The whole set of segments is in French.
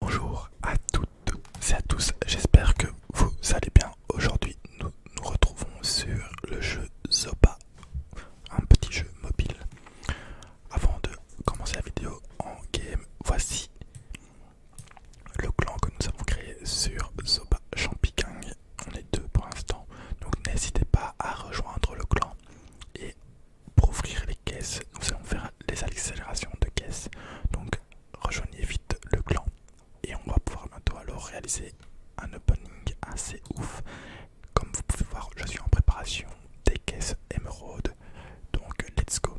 Bonjour à toutes et à tous, j'espère que vous allez bien. Aujourd'hui, nous nous retrouvons sur le jeu Zopa, un petit jeu mobile. Avant de commencer la vidéo en game, voici le clan que nous avons créé sur Zopa Champigang. On est deux pour l'instant, donc n'hésitez pas à rejoindre le clan et pour ouvrir les caisses, nous allons faire les accélérations de caisses, Donc rejoignez vite le clan et on va pouvoir bientôt alors réaliser un opening assez ouf. Comme vous pouvez voir, je suis en préparation des caisses émeraude. Donc let's go.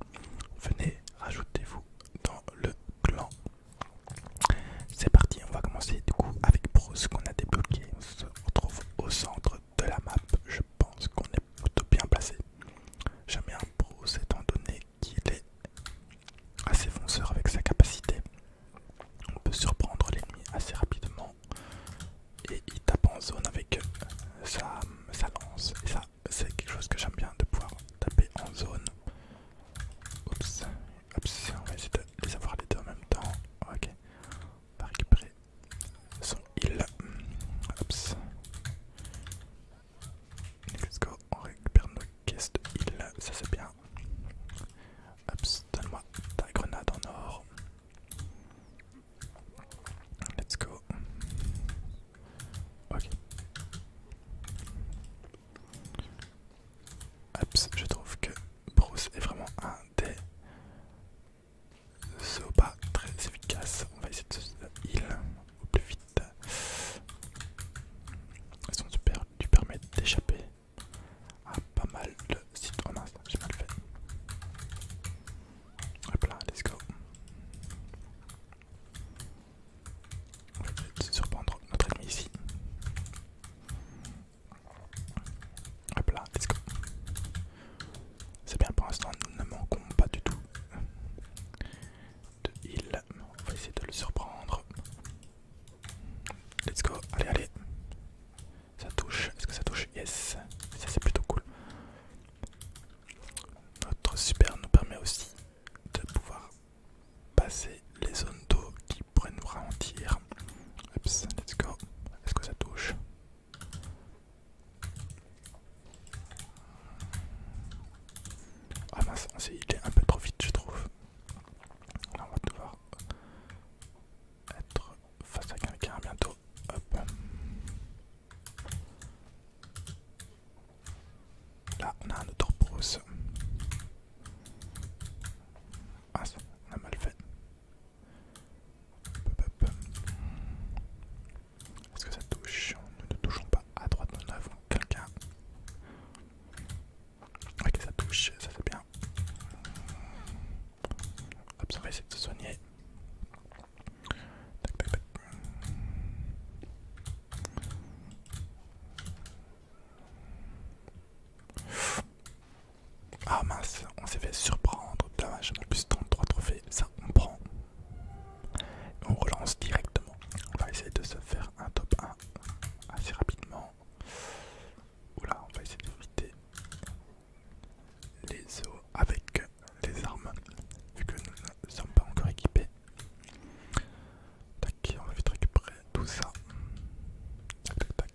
Venez, rajoutez-vous dans le clan. C'est parti, on va commencer du coup avec Bruce qu'on a débloqué. On se retrouve au centre de la map, je pense qu'on est plutôt bien placé. J'aime bien Bruce étant donné qu'il est assez fonceur avec sa capacité. On peut surprendre l'ennemi assez rapidement et il tape en zone avec sa, lance. Et ça, c'est quelque chose que j'aime bien de pouvoir taper en zone. on va essayer de les avoir les deux en même temps. Ok, on va récupérer son heal. Ops. Let's go, on récupère nos caisses de heal, ça c'est bien. Ops, donne-moi ta grenade en or. Let's go. Ok. Ops, je trouve que Bruce est vraiment un des ce pas très efficace. On va essayer de se heal au plus vite. Elles sont super, tu permets d'échapper à pas mal de sites. Oh mince, j'ai mal fait. Hop là, let's go. On va peut-être surprendre notre ennemi ici. Hop là, let's go. C'est bien pour l'instant, nous ne manquons pas du tout de heal. On va essayer de le surprendre. Let's go, allez, allez. Ça touche, est-ce que ça touche Yes, ça c'est plutôt cool. Notre super nous permet aussi de pouvoir passer les zones d'eau qui pourraient nous ralentir. Oops, let's go. Est-ce que ça touche ah mince, il est un peu trop vite, je trouve. Là, on va devoir être face à quelqu'un bientôt. Hop. Là, on a un autre brousse. Ah, on a mal fait. Est-ce que ça touche Nous ne touchons pas à droite, nous avant. quelqu'un. Ok, ça touche, ça fait bien. Hop, ça va essayer de se soigner. Ah mince, on s'est fait surprendre, dommage, en plus 33 trophées, ça on prend. On relance directement. On va essayer de se faire un top 1 assez rapidement. Oula, on va essayer d'éviter les os avec les armes, vu que nous ne sommes pas encore équipés. Tac, on va vite récupérer tout ça. Tac, tac, tac.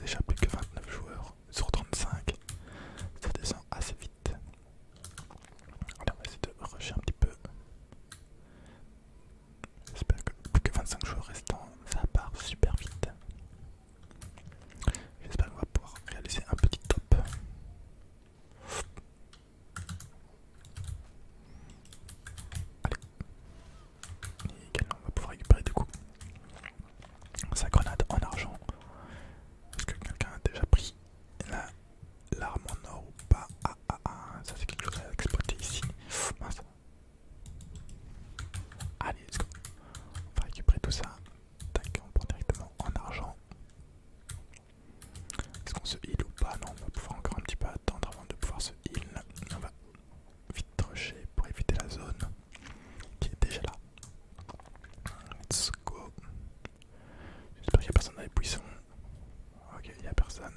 Déjà plus que 29 joueurs sur 35. Ça descend assez vite. on va essayer de rusher un petit peu. J'espère que plus que 25 joueurs restants, ça part super vite. J'espère qu'on va pouvoir réaliser un petit top. Allez. Et également, on va pouvoir récupérer du coup sa grenade en argent. Est-ce que quelqu'un a déjà pris l'arme en or ou pas Ah ah ah, ça c'est quelque chose à exploiter ici. Allez, let's go. On va récupérer tout ça. Tac, on prend directement en argent. Est-ce qu'on se heal ou pas Non, on va pouvoir encore un petit peu attendre avant de pouvoir se heal. On vite rusher pour éviter la zone qui est déjà là. Let's go. J'espère qu'il n'y a personne dans les buissons. Ok, il n'y a personne.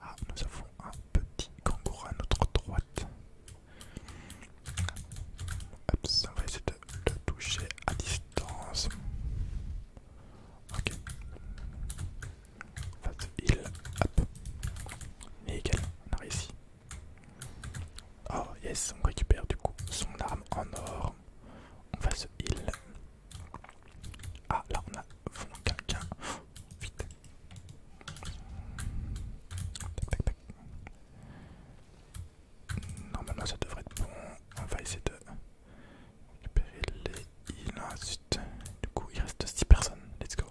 Ah, nous avons un petit kangourou à notre droite. Hop, on va essayer de le toucher à distance. Ok se il hop. Nickel, on a réussi. Oh yes, on récupère du coup son arme en or. On va se heal. Ah là on a vraiment quelqu'un. vite. Tac, tac, tac. Normalement ça devrait être bon. On va essayer de récupérer les il a ensuite. Du coup, il reste 6 personnes. Let's go.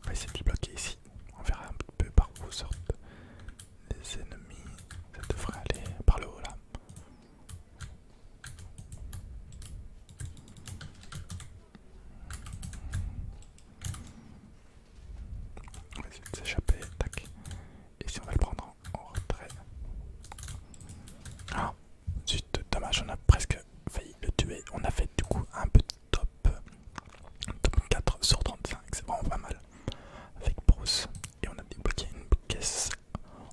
On va essayer de les bloquer ici. On verra un peu par où sortent les ennemis. Ça devrait aller par le haut là. On va essayer de s'échapper, tac. Et si on va le prendre en retrait. Ah, zut, dommage, on a presque failli le tuer. On a fait du coup un petit top, top 4 sur 35, c'est vraiment pas mal. Avec Bruce, et on a débloqué une caisse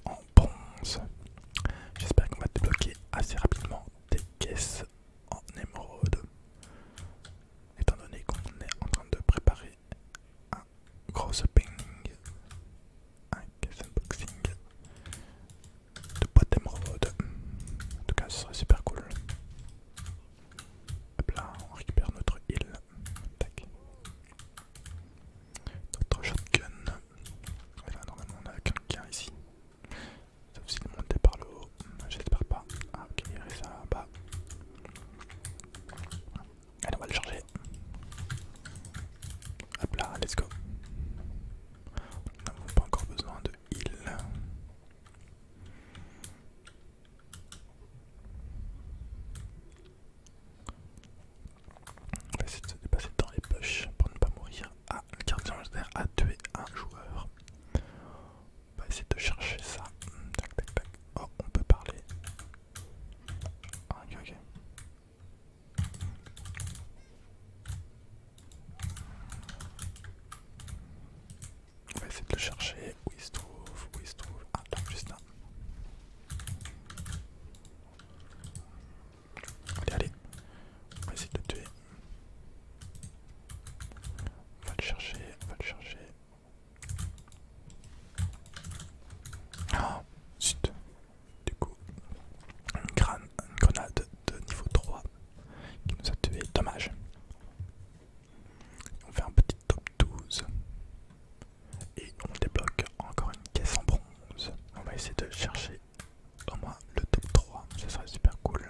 en bronze. J'espère qu'on va débloquer assez rapidement des caisses en émeraude. Étant donné qu'on est en train de préparer un gros painting un caisse unboxing de boîte d'émeraude. En tout cas, ce serait super cool. Hop là, on récupère notre île. Notre shotgun normalement, on a quelqu'un ici. Sauf s'il montait par le haut. J'espère pas. Ah, ok, il reste là bas. Allez, on va le charger. Hop là, let's go. On n'a pas encore besoin de heal. On va essayer de se dépasser dans les poches pour ne pas mourir. Ah, le gardien a tué un joueur. On va essayer de chercher ça. Tac, tac, tac. Oh, on peut parler. Ah, ok, ok. On va essayer de le chercher. Où il se trouve Où il se trouve Ah, juste là. Allez, allez. On va essayer de le tuer. On va le chercher, on va le chercher. Ah, zut. Du coup, une, grenade de niveau 3 qui nous a tué. Dommage. On fait un petit top 12. Et on débloque encore une caisse en bronze. On va essayer de chercher au moins le top 3, ce serait super cool.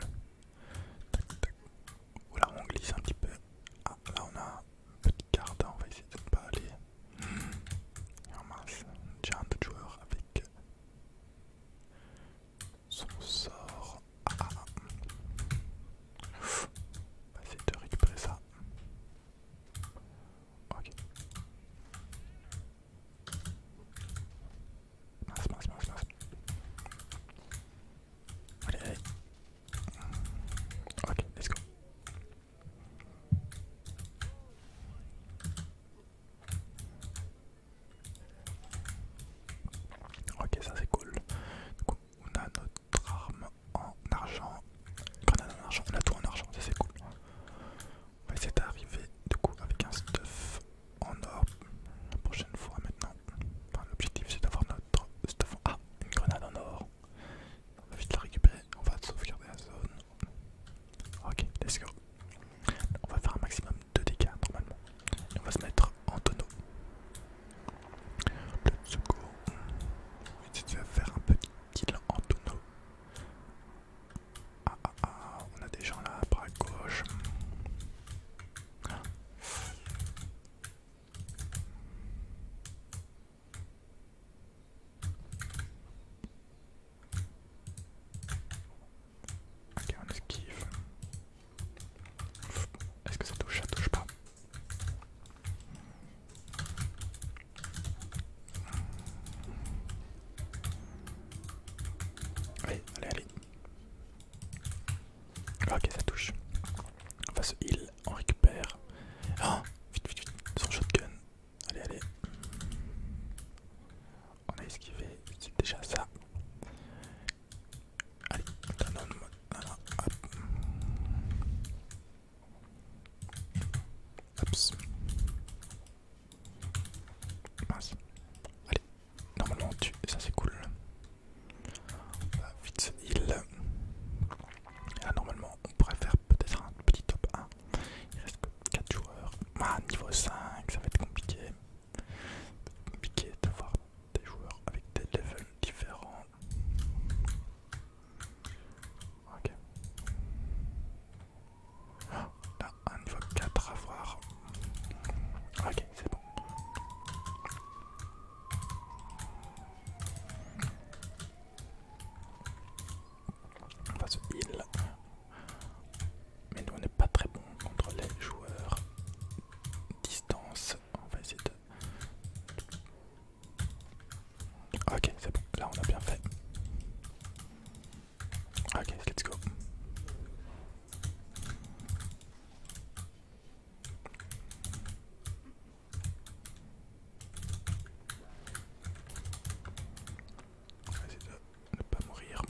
Tac, tac. Voilà, on glisse un petit peu. Ah, là on a un petit carte, on va essayer de ne pas aller. En mince, un joueur avec son sort. Ah, ah, On ah. bah, de récupérer ça. Ok. Allez, Ok, let's go. Ok, ça c'est cool. on a notre arme en argent Grenade en argent, on a tout en argent, ça c'est cool. On va essayer d'arriver coup avec un stuff en or la prochaine fois maintenant. L'objectif c'est d'avoir notre stuff en... Ah, une grenade en or. On va vite la récupérer, on va sauvegarder la zone. Ok, let's go. On va faire un maximum de dégâts normalement. on va se mettre en tonneau. Let's go. On va faire un petit cest Antono. Ah ah ah, on a des gens là, bras gauche. Ok, on esquive. Est-ce que ça touche Ça touche pas. Allez, allez, allez. Ah, ok, ça touche. On va se heal, on récupère. Ah, vite, vite, vite, son shotgun. Allez, allez. On a esquivé, c'est déjà ça. Allez, un non, non, Oups. Mince. Allez, normalement on tue, ça c'est cool. On euh, va vite se heal. Et euh, là normalement on pourrait faire peut-être un petit top 1. Il reste que 4 joueurs. Ah, niveau 5, ça va être compliqué. ça va être Compliqué d'avoir des joueurs avec des levels différents. Ok. Là, un niveau 4 à voir. Ok, c'est bon. On va se heal. Mais nous on n'est pas très bon contre les joueurs distance. On va essayer de ah, ok, c'est bon, là on a bien fait. Ok, let's go. On va essayer de ne pas mourir.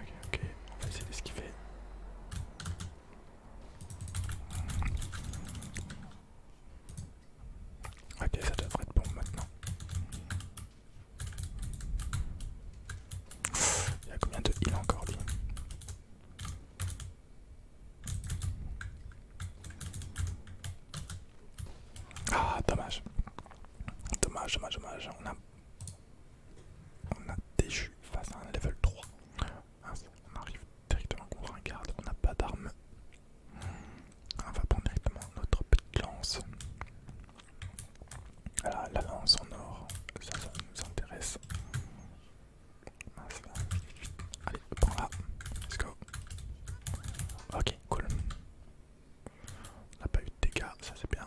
Ok, ok, on va essayer d'esquiver. Ok, ça devrait être bon maintenant. Il y a combien de heal encore Ah, dommage. Dommage, dommage, dommage. On a, on a déchu face à un level 3. Ah, on arrive directement contre un garde, on n'a pas d'armes. On va prendre directement notre petite lance. Voilà, la lance en or, ça, ça nous intéresse. Allez, prends-la, let's go. Ok, cool. On n'a pas eu de dégâts, ça c'est bien.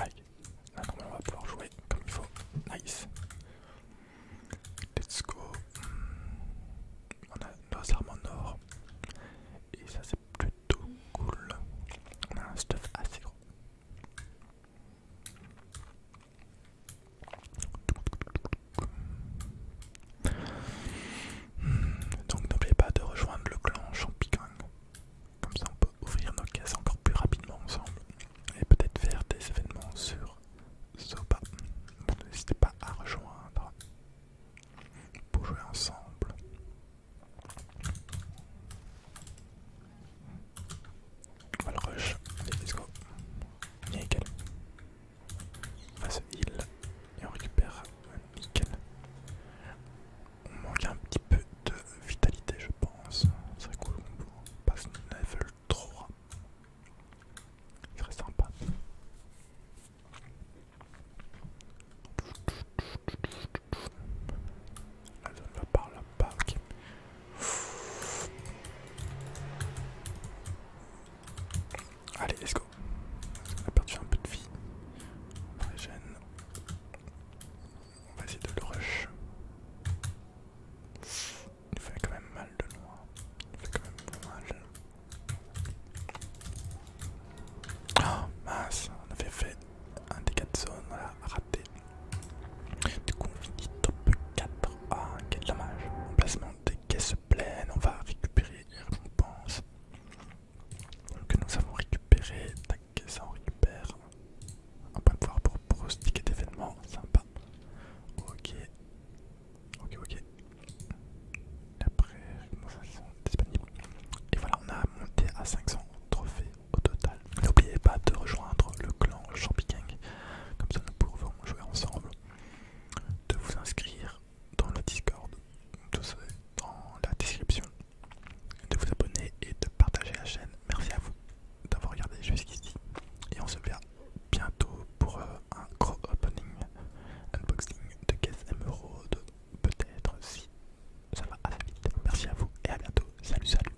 Allez, là on va pouvoir jouer comme il faut. Nice. Let's go. On a nos armes en or. Et ça c'est plutôt cool. On a un stuff assez gros. Hmm, donc n'oubliez pas de rejoindre le clan Champignon. Comme ça on peut ouvrir nos caisses encore plus rapidement ensemble. Et peut-être faire des événements sur sopa. N'hésitez pas à rejoindre pour jouer ensemble. On va le rush. Allez, let's go. Nickel. On va se heal et on récupère. Euh, nickel. On manque un petit peu de vitalité, je pense. C'est serait cool on passe level 3. C'est serait sympa. La zone va par là-bas, ok. Allez, let's go. On a perdu un peu de vie. On régène. On va essayer de le rush. Il fait quand même mal de loin. Il fait quand même mal. Oh mince, on avait fait un dégât de zone, on raté. Du coup on finit top 4. Ah quel dommage. Emplacement des caisses pleines. On va récupérer les récompenses que nous avons récupéré Tac, ça on récupère. On de pouvoir pour prostiquer d'événements. Sympa. Ok. Ok, ok. Après, sont Et voilà, on a monté à 500 trophées au total. N'oubliez pas de rejoindre le clan Champigang, comme ça nous pourrons jouer ensemble, de vous inscrire dans le Discord, tout dans la description, de vous abonner et de partager la chaîne. Merci à vous d'avoir regardé jusqu'ici et on se verra bientôt pour euh, un gros opening, unboxing de caisse émeraude, peut-être si ça va à la vite. Merci à vous et à bientôt. Salut, salut.